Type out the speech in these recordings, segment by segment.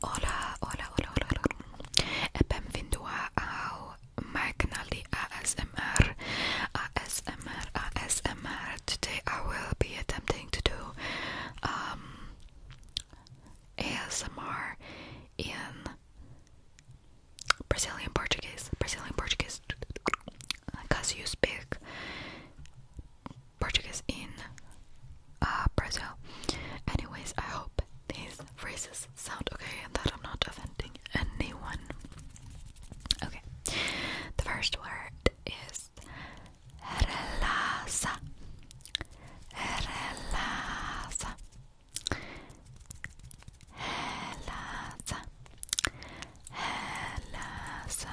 Hola, hola, hola, hola, hola. E benvenuta ao my canal ASMR. ASMR, ASMR. Today I will be attempting to do um ASMR in Brazilian Portuguese. Brazilian Portuguese. Because you speak Portuguese in uh, Brazil. Anyways, I hope these phrases sound okay and that I'm not offending anyone. Okay, the first word is relaxa. Relaxa. Relaxa. Relaxa.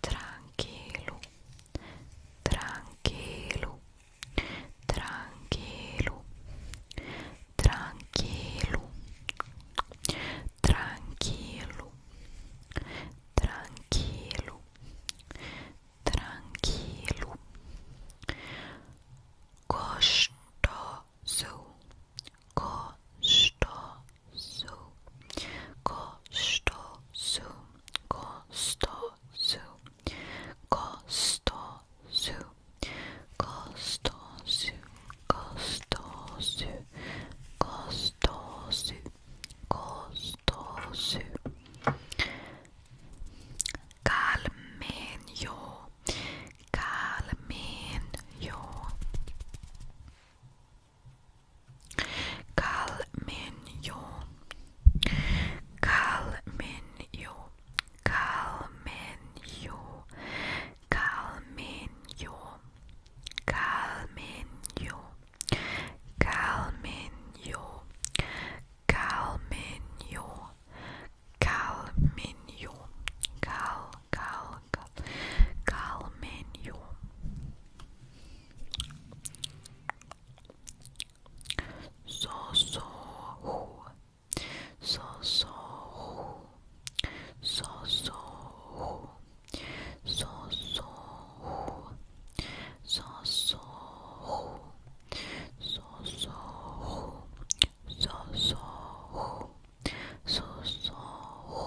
tranquilo, tranquilo, tranquilo, tranquilo, tranquilo, tranquilo, tranquilo, gostoso, gostoso su kostosu kostosu kostosu kostosu kostosu kostosu kostosu kalmen jo kalmen jo Kalminyo Kalminyo Kalminyo Kalminyo Kalminyo Kalminyo Kalminyo Kalminyo Kal Kal alkal kalmenyum so so hu so so hu so so hu so so hu so so hu so so hu so so hu so so hu so so hu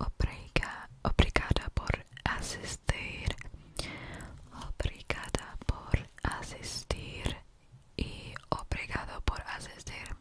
Obrigada, obrigada por asistir. Obrigada por asistir. Y obrigado por asistir.